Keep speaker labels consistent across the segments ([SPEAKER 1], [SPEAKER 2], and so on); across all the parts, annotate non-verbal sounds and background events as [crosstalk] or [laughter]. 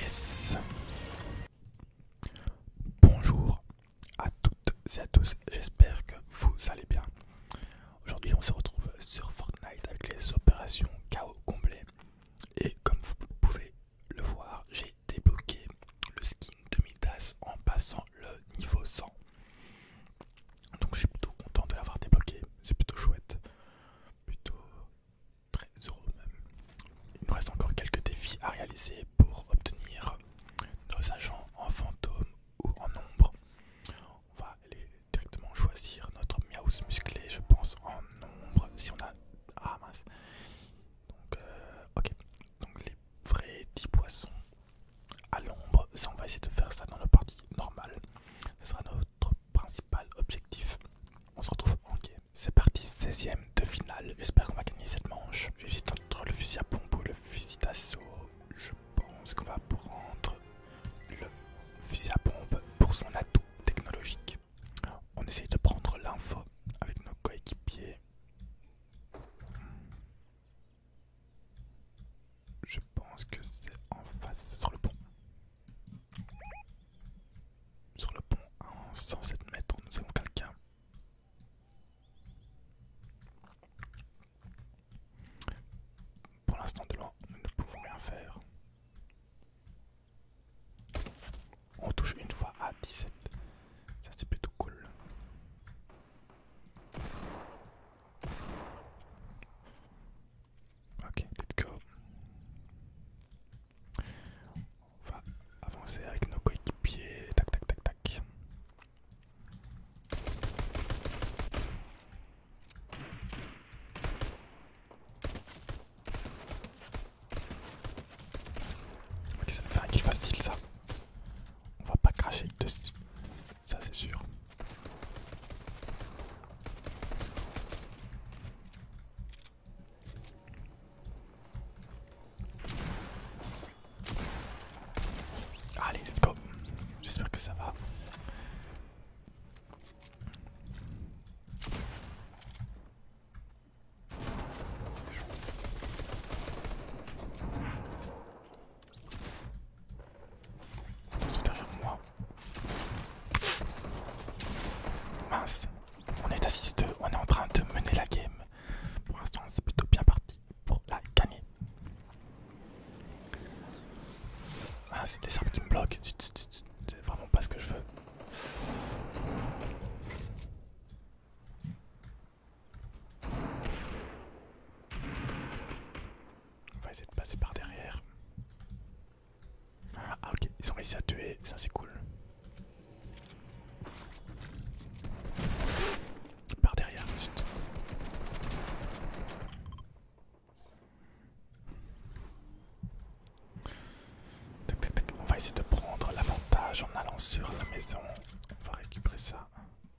[SPEAKER 1] Yes. Bonjour à toutes et à tous, j'espère que vous allez bien. Aujourd'hui on se retrouve sur Fortnite avec les opérations KO complet. Et comme vous pouvez le voir, j'ai débloqué le skin demi tas en passant le niveau 100. Donc je suis plutôt content de l'avoir débloqué, c'est plutôt chouette. Plutôt très heureux même. Il nous reste encore quelques défis à réaliser pour obtenir nos agents en fantôme ou en ombre. On va aller directement choisir notre miaus musclé, je pense, en ombre. Si on a. Ah mince! Donc, euh, ok. Donc, les vrais 10 poissons à l'ombre. Ça, on va essayer de faire ça dans la partie normale. Ce sera notre principal objectif. On se retrouve en game. C'est parti, 16ème de finale. J'espère qu'on va gagner cette manche. juste entre le fusil à pompe ou le fusil d'assaut. Je pense qu'on va prendre le fusil à pompe pour son atout technologique. On essaye de prendre l'info avec nos coéquipiers. Je pense que c'est en face, sur le pont. Sur le pont, en 107 mètres, nous avons quelqu'un. Pour l'instant, de loin, nous ne pouvons rien faire. On touche une fois à 17. Ça, c'est plutôt cool. Ok, let's go. On va avancer avec nos coéquipiers. Tac, tac, tac, tac. Ok, ça nous fait un kill facile ça. On va pas cracher dessus ça c'est sûr. Allez, let's go. J'espère que ça va. Mince. On est à 6-2, on est en train de mener la game. Pour l'instant, c'est plutôt bien parti pour la gagner. Mince, les arbres me bloquent. C'est vraiment pas ce que je veux. On va essayer de passer par derrière. Ah ok, ils ont réussi à tuer, ça c'est cool. Par derrière, juste. On va essayer de prendre l'avantage en allant sur la maison. On va récupérer ça.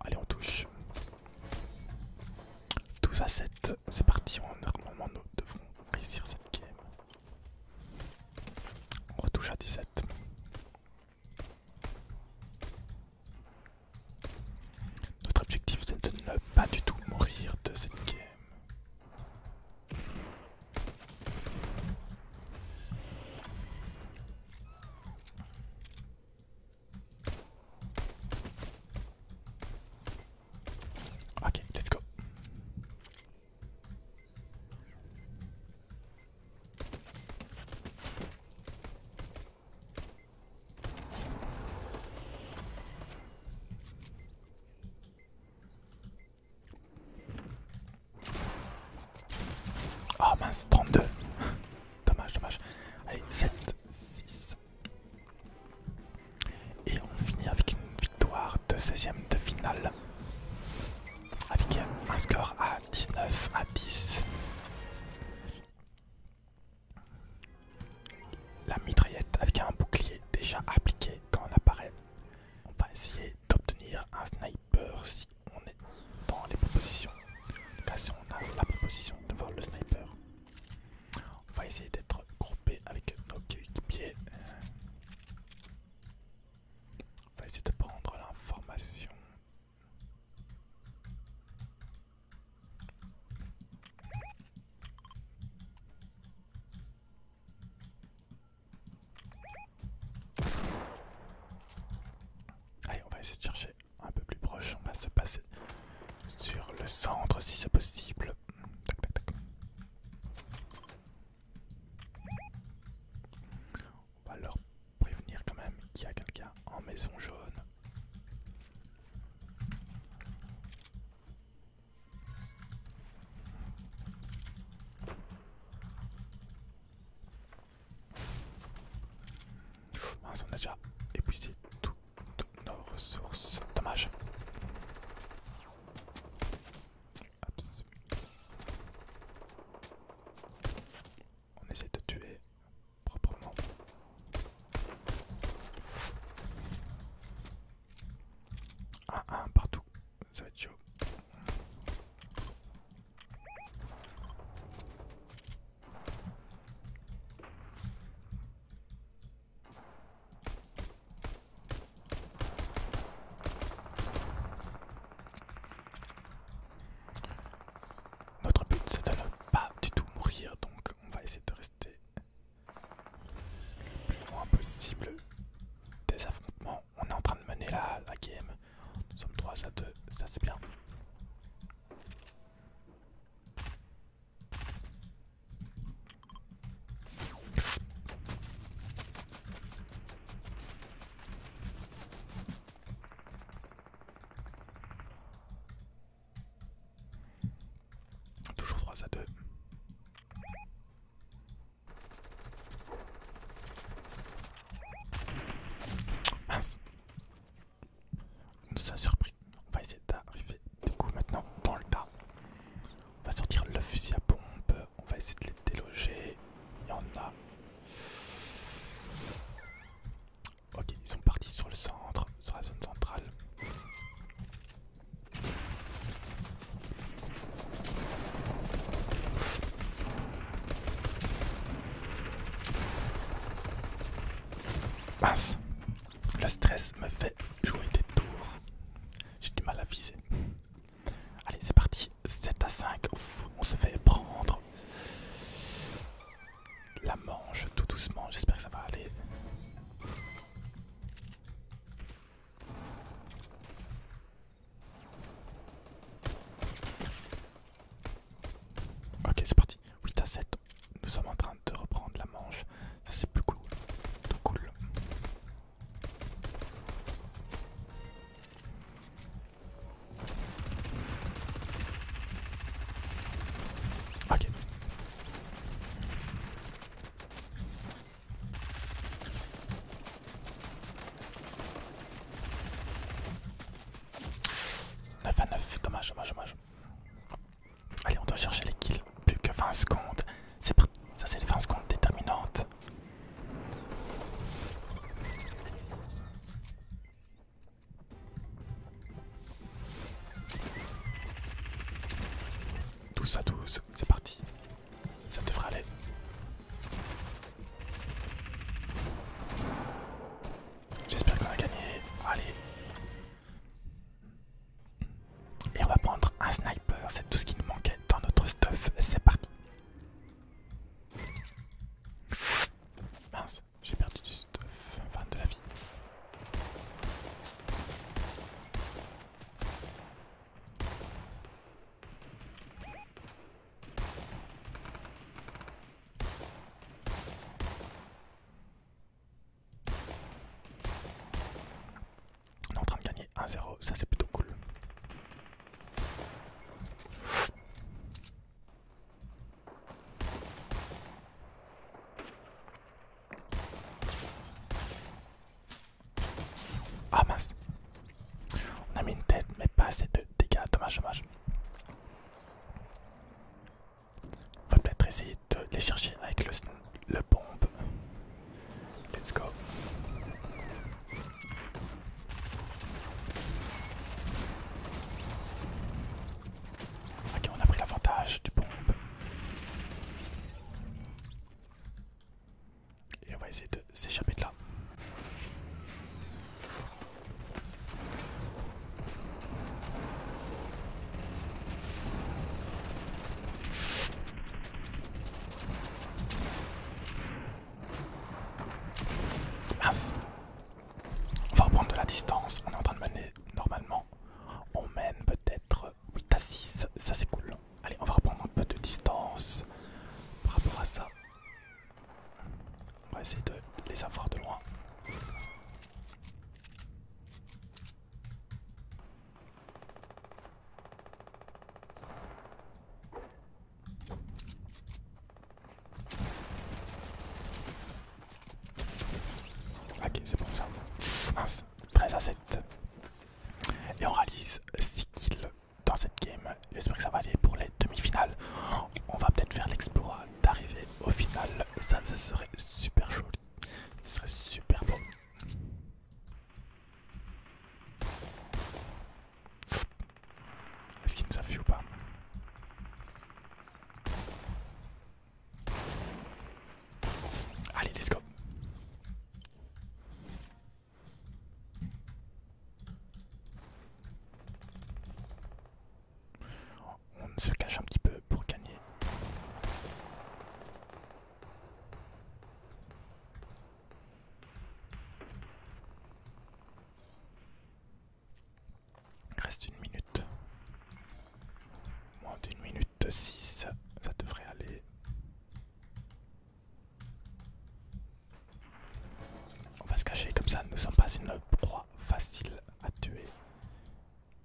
[SPEAKER 1] Allez, on touche. 12 à 7, c'est parti. en Normalement, nous devrons réussir cette game. On retouche à 17. Notre objectif c'est de ne pas du tout mourir de cette game. Ok, let's go. Oh mince, 32. [laughs] dommage, dommage. Allez, 7, 6, et on finit avec une victoire de 16ème de finale. Avec un score à 19 à 10. La mitraillette avec un bouclier déjà appliqué quand on apparaît. On va essayer d'obtenir un sniper si on est dans les propositions. En tout cas, si on a la proposition de voir le sniper. On va essayer d'être groupé avec nos pieds, On va essayer de prendre l'information. Allez, on va essayer de chercher un peu plus proche, on va se passer sur le centre si c'est possible. On va leur prévenir quand même qu'il y a quelqu'un en maison jaune. on a déjà épuisé tout toutes nos ressources. Dommage. On essaie de tuer proprement. Un, un partout, ça va être chaud. Notre but c'est de ne pas du tout mourir, donc on va essayer de rester le plus loin possible des affrontements. On est en train de mener la, game. Nous sommes 3 à 2, ça c'est bien. Toujours 3 à 2. Mince. On nous a surpris. On va essayer d'arriver du coup maintenant dans le tas. On va sortir le fusil à pompe. On va essayer de les déloger. Il y en a. Ok, ils sont partis sur le centre, sur la zone centrale. Mince, le stress me fait jouer des tours. J'ai du mal à viser. Allez, c'est parti. 7 à 5. on se fait prendre. La manche tout doucement. J'espère que ça va aller. Ok, c'est parti. 8 à 7. Nous sommes en train de reprendre la manche. Ça c'est plus cool. Plus cool. Ok. 9 à 9, dommage, dommage, dommage. Allez, on doit chercher les kills. Plus que 20 secondes. C'est Ça, c'est les 20 secondes déterminantes. 12 à 12, c'est parti. Ça devrait aller. J'espère qu'on a gagné. Allez. Et on va prendre un sniper, c'est tout ce qui nous manquait dans notre stuff, c'est parti. Mince, j'ai perdu du stuff, enfin de la vie. On est en train de gagner 1-0, ça c'est plutôt cool. Ah mince On a mis une tête mais pas assez de dégâts, dommage, dommage. On va peut-être essayer de les chercher avec le, le pompe. Let's go. Ok, on a pris l'avantage du pompe. Et on va essayer de s'échapper de là. Mince. On va reprendre de la distance. On est en train de mener normalement. On mène peut-être 8 à 6. Ça c'est cool. Allez, on va reprendre un peu de distance par rapport à ça. On va essayer de les avoir de loin. Ok, c'est bon ça. 13 à 7. Et on réalise 6 kills dans cette game. J'espère que ça va aller pour les demi-finales. On va peut-être faire l'exploit d'arriver au final. Ça, ça serait super chaud ce serait super beau. Est-ce qu'il nous a vu ou pas Allez, let's go. On se cache un petit peu pour gagner. Reste une minute. Moins d'une minute 6, ça devrait aller. On va se cacher comme ça, nous ne sommes pas une proie facile à tuer.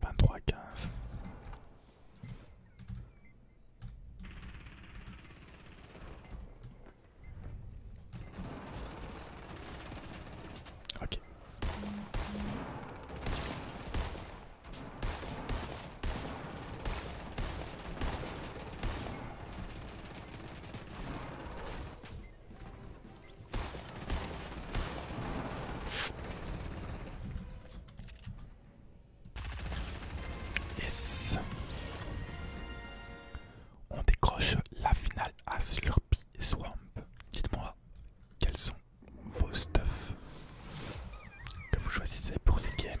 [SPEAKER 1] 23 15 Yes. On décroche la finale à Slurpy Swamp. Dites-moi quels sont vos stuffs que vous choisissez pour ces games.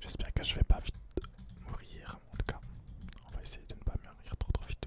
[SPEAKER 1] J'espère que je vais pas vite mourir, en tout cas. On va essayer de ne pas mourir trop trop vite.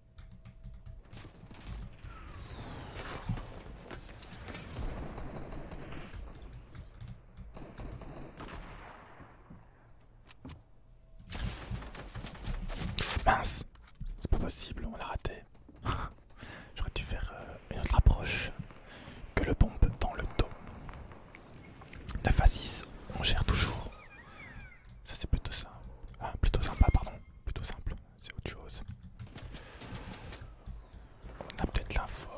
[SPEAKER 1] mince, c'est pas possible, on l'a raté. [laughs] J'aurais dû faire euh, une autre approche que le pompe dans le dos. 9 à 6, on gère toujours. Ça c'est plutôt ça. Ah, plutôt sympa, pardon. Plutôt simple c'est autre chose. On a peut-être l'info.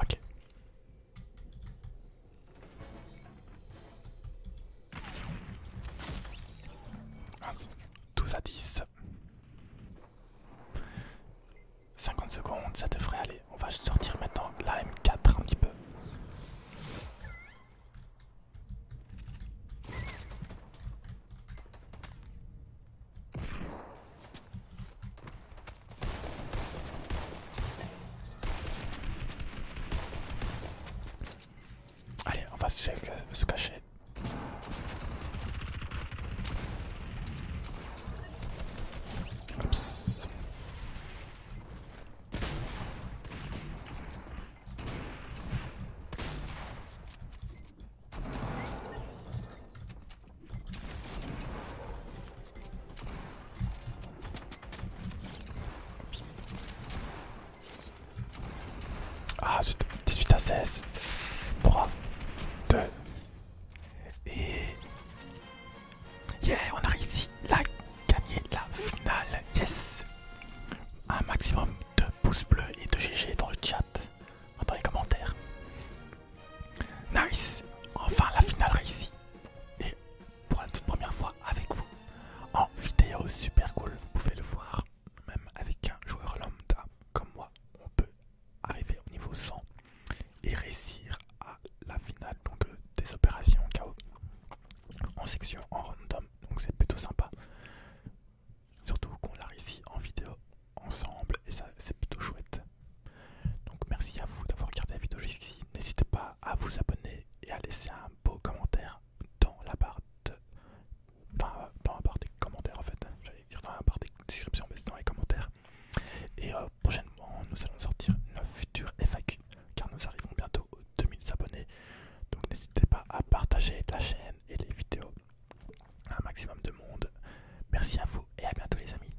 [SPEAKER 1] Ok. 12 ah, à 10. 50 secondes, ça te ferait aller. On va sortir maintenant la M4 un petit peu. Allez, on va se, se cacher. Ah, 18 à 16. 3, 2. Et... Yeah, on a réussi la gagner la finale. Yes. Un maximum de pouces bleus et de GG dans le chat, dans les commentaires. Nice Enfin la finale réussie Et pour la toute première fois avec vous en vidéo super cool, vous pouvez le voir même avec un joueur lambda comme moi, on peut arriver au niveau 100 et réussir à la finale donc euh, des opérations chaos en section en random donc c'est plutôt sympa surtout qu'on l'a réussi en vidéo ensemble et ça c'est plutôt chouette donc merci à vous d'avoir regardé la vidéo jusqu'ici. N'hésitez pas à vous abonner et à laisser un beau commentaire dans la barre de... Dans, la barre des commentaires en fait. J'allais dire dans la barre des descriptions mais c'est dans les commentaires. Et euh, prochainement nous allons sortir une future FAQ car nous arrivons bientôt aux 2000 abonnés. Donc n'hésitez pas à partager la chaîne et les vidéos à un maximum de monde. Merci à vous et à bientôt les amis.